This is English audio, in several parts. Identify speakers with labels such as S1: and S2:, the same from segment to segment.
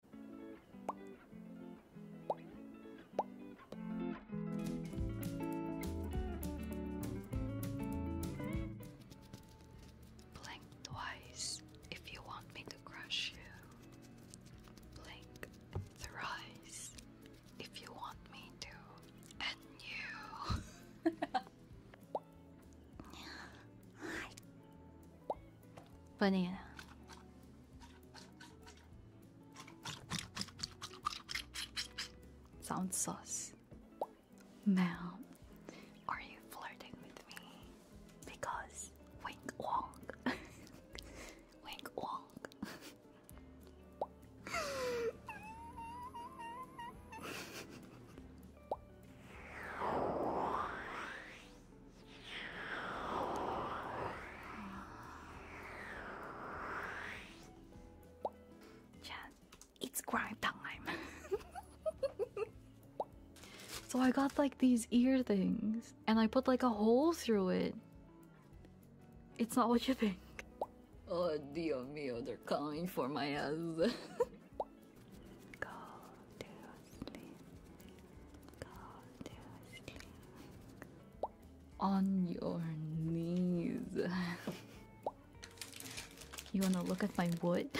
S1: Blink twice if you want me to crush you. Blink thrice if you want me to. And you.
S2: Banana. Sounds sauce. Ma'am, are you flirting with me? Because wink wonk. wink wonk. it's grind time. so I got like these ear things and I put like a hole through it. It's not what you think. Oh, Dio mio, they're coming for my ass. On your knees. you wanna look at my wood?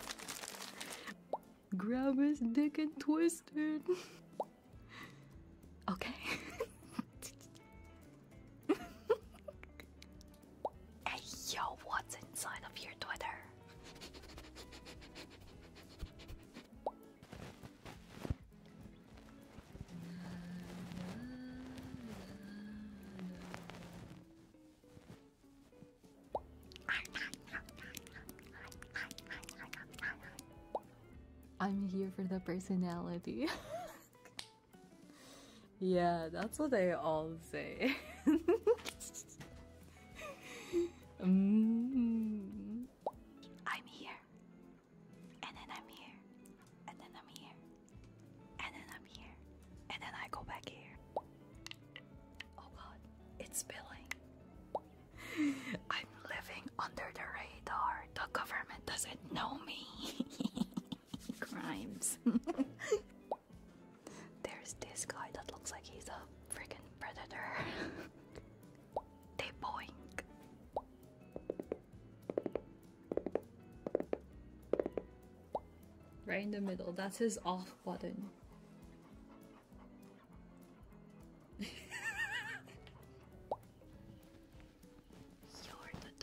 S2: Grab his dick and twist it. Okay. hey
S1: yo, what's inside of your Twitter?
S2: I'm here for the personality. yeah, that's what they all say. Mm. I'm here, and then I'm here, and then I'm here, and
S1: then I'm here, and then I go back here. Oh god, it's spilling. I'm living under the radar. The government doesn't know me.
S2: Crimes.
S1: There's this guy that looks like he's a freaking predator. They boink.
S2: Right in the middle. That's his off button. You're the dork.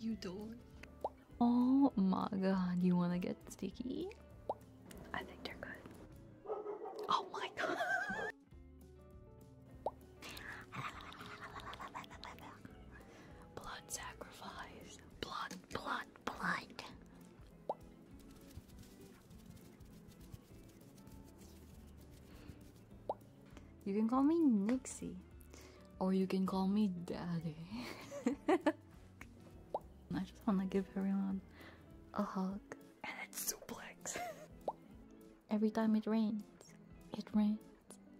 S2: You dork. Oh my god, you wanna get sticky? I think they're good. Oh my god.
S1: blood sacrifice. Blood, blood, blood.
S2: You can call me Nixie. Or you can call me Daddy. I just want to give everyone a hug. And it's suplex. every time it rains, it rains.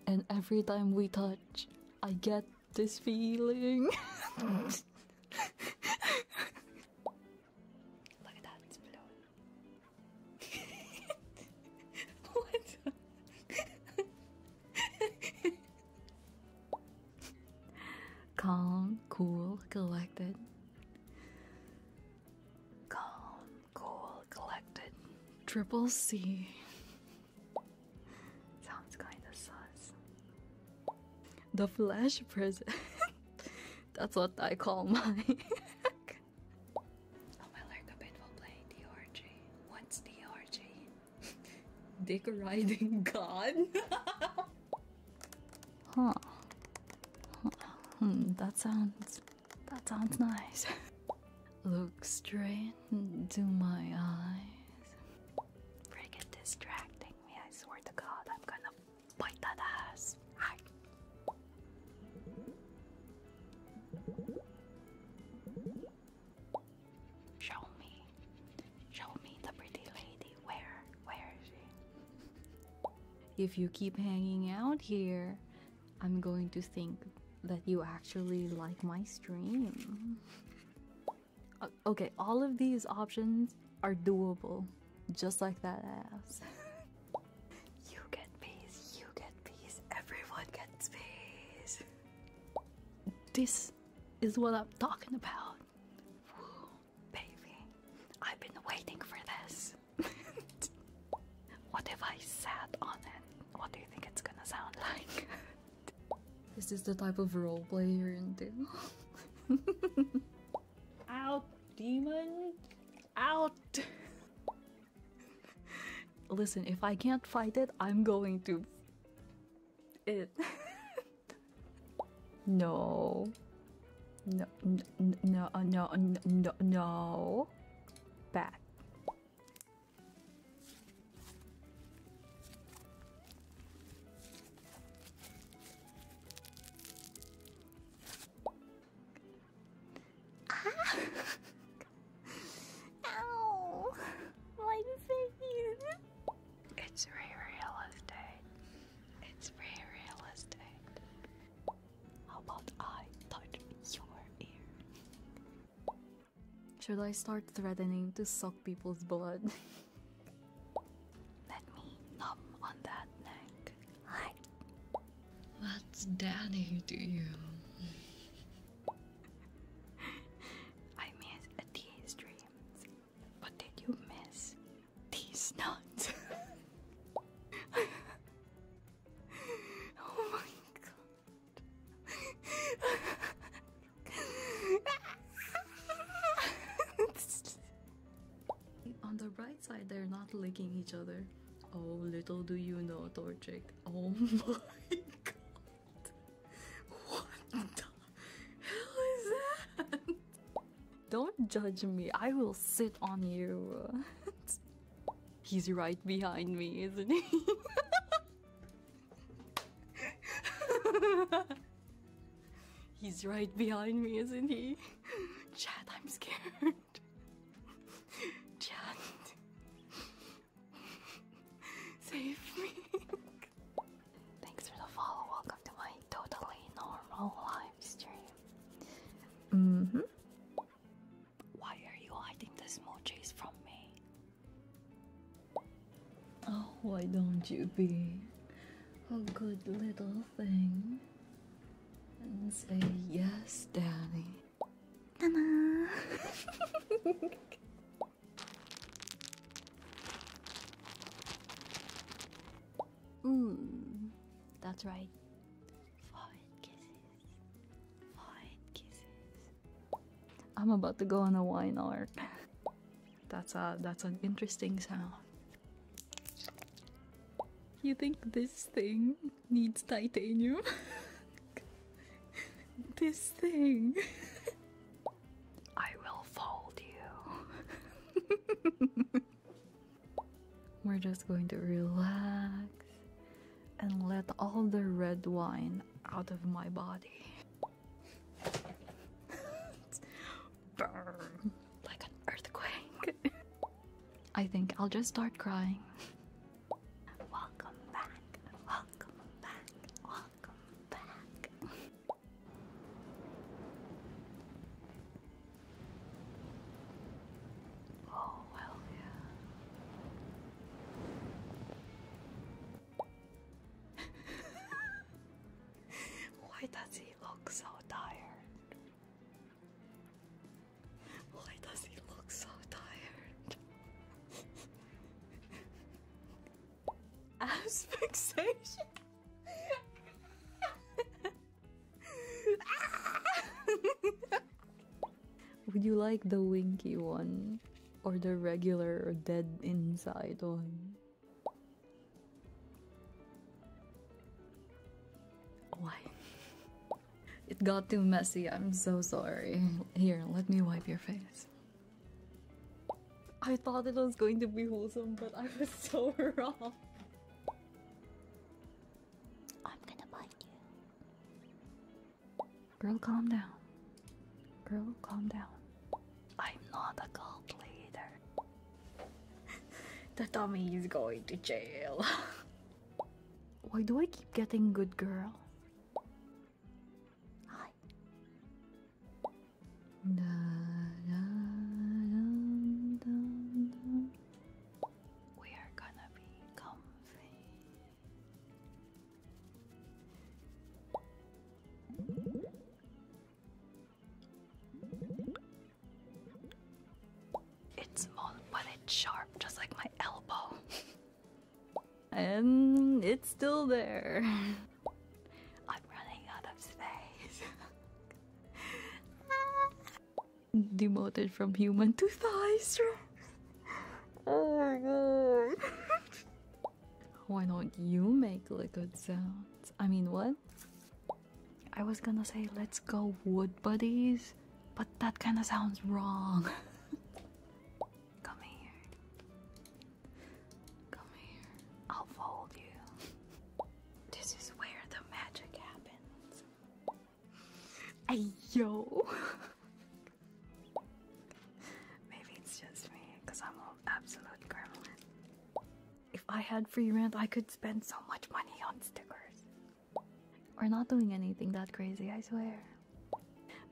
S2: And every time we touch, I get this feeling. Look at that, what? Calm, cool, collected.
S1: Calm, cool,
S2: collected. Triple C.
S1: Sounds kinda sus.
S2: The Flash Prison. That's what I call mine. oh, my Larkabit
S1: will play DRG. What's DRG?
S2: Dick riding god? Huh. Hmm, that sounds. that sounds nice. Look straight into my eyes. Friggin'
S1: distracting me, I swear to god, I'm gonna
S2: bite that ass.
S1: Show me. Show me the pretty lady. Where? Where is
S2: she? If you keep hanging out here, I'm going to think that you actually like my stream. Okay, all of these options are doable, just like that ass. you get peace, you get peace, everyone
S1: gets peace.
S2: This is what I'm talking about
S1: baby. I've been waiting for this. what if I sat on it? What do you think it's gonna sound like?
S2: Is this the type of roleplay you're into? out, demon! Out! Listen, if I can't fight it, I'm going to. It. No. No, no, no, no, no, no. Ah!
S1: Ow! Why did it's real realistic. It's real realistic. How about I touch your ear?
S2: Should I start threatening to suck people's blood? Let me numb on that neck. Hi. What's daddy to you?
S1: I miss a dreams. What did you miss? These nuts. oh my god.
S2: On the right side, they're not licking each other. Oh, little do you know, Torchic. Oh my god. What don't judge me. I will sit on you. He's right behind me, isn't he? He's right behind me, isn't he? Chad, I'm scared. Chad.
S1: Save me. Thanks for the follow. Welcome to my totally normal live stream. Mm hmm. Why are you hiding the emojis from me?
S2: Oh, why don't you be a good little thing and say yes, Daddy? Nana.
S1: Mm. that's right.
S2: I'm about to go on a wine art. that's a that's an interesting sound. You think this thing needs titanium? this thing.
S1: I will fold
S2: you. We're just going to relax and let all the red wine out of my body. like an earthquake. I think I'll just start crying. Welcome back,
S1: welcome back, welcome back. Oh, well, yeah. Why does he look so tired? Why does he look so tired? Asphyxiation.
S2: Would you like the winky one? Or the regular dead inside one? Why? It got too messy, I'm so sorry. Here, let me wipe your face. I thought it was going to be wholesome, but I was so wrong. I'm gonna bite you. Girl, calm down. Girl, calm down.
S1: I'm not a cult leader. the
S2: dummy is going to jail. Why do I keep getting good girl? Hi. We are gonna be
S1: comfy.
S2: It's small, but it's sharp, just like my elbow. and it's still there. I'm running out of space. Demoted from human to thighs. oh my god. Why don't you make a good sound? I mean, what? I was gonna say, let's go wood buddies, but that kinda sounds wrong. Come here.
S1: Come here. I'll fold you this is where the magic happens.
S2: Ay yo.
S1: Maybe it's just me, because I'm an absolute gremlin.
S2: If I had free rent, I could spend so
S1: much money on stickers.
S2: We're not doing anything that crazy, I swear.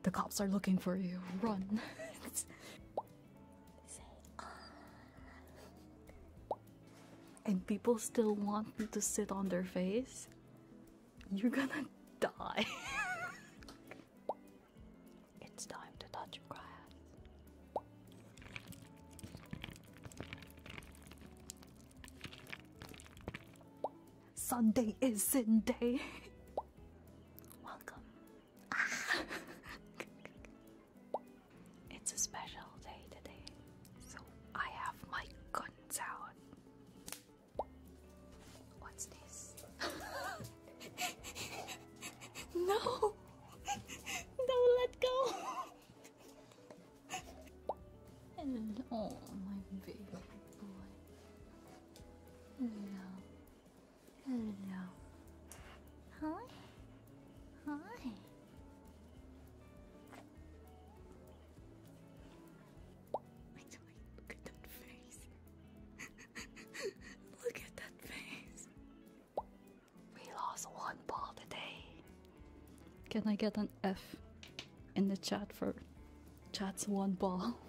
S2: The cops are looking for you. Run. Ah. and people still want me to sit on their face, you're gonna die. it's time to touch grass. Sunday is Sunday. Welcome.
S1: It's a special day today, so I have my guns out. What's this?
S2: no! Don't let go! Hello, oh, my baby boy. Hello. Hello. Hi.
S1: Hi. Look at that face. Look at that face. We lost one ball today.
S2: Can I get an F in the chat for chat's one ball?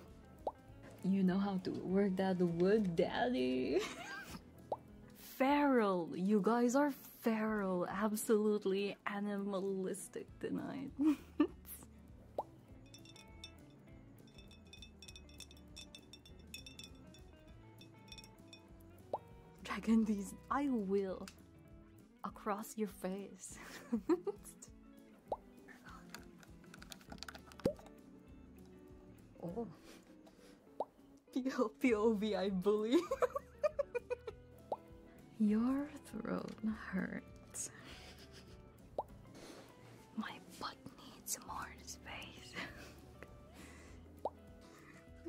S2: You know how to work that wood, daddy. feral. You guys are feral. Absolutely animalistic tonight. Dragon these I will across your face. Oh. POV bully. Your throat hurts.
S1: My butt needs more space.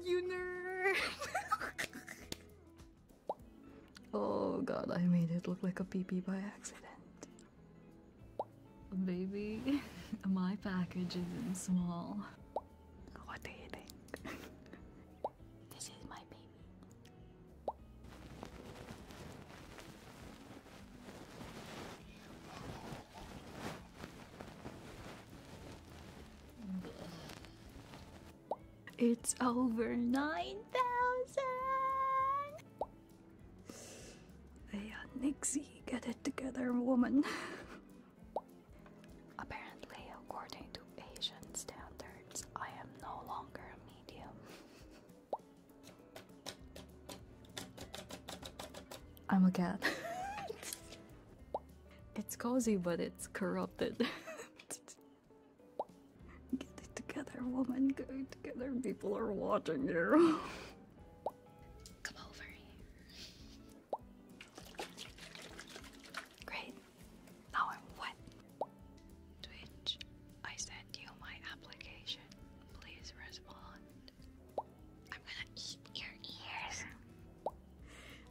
S2: you nerd! oh god, I made it look like a pee by accident. Baby, my package isn't small. What do you think? this is my baby. It's over 9,000!
S1: Yeah, Nixie, get it together, woman. Apparently, according to Asian standards, I am no longer a medium.
S2: I'm a cat. it's cozy, but it's corrupted. Get it together, woman. Get it together. People are watching you. Come over here.
S1: Great. Now I'm wet. To I sent you my application. Please respond.
S2: I'm gonna eat your ears.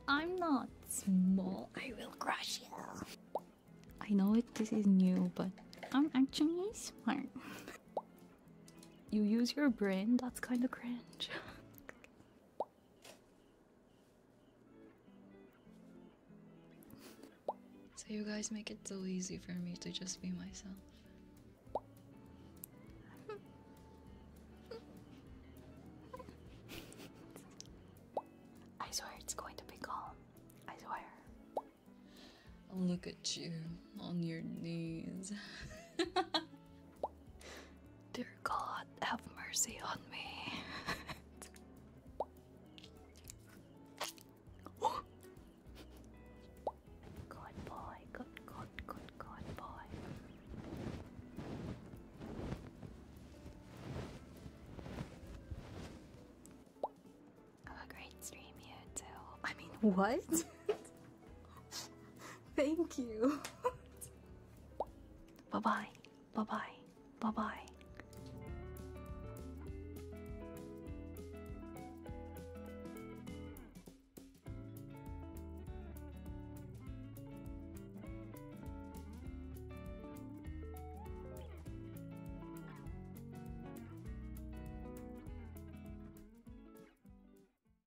S2: I'm not small. I will crush you. I know it, this is new, but I'm actually smart. You use your brain? That's kind of cringe. so, you guys make it so easy for me to just be myself.
S1: I swear it's going to be calm. I swear.
S2: look at you on your knees. Dear God, have mercy on me.
S1: God boy, good, good, good, God boy.
S2: Have a great stream, you too. I mean, what? Thank you.
S1: bye bye. Bye bye. Bye bye.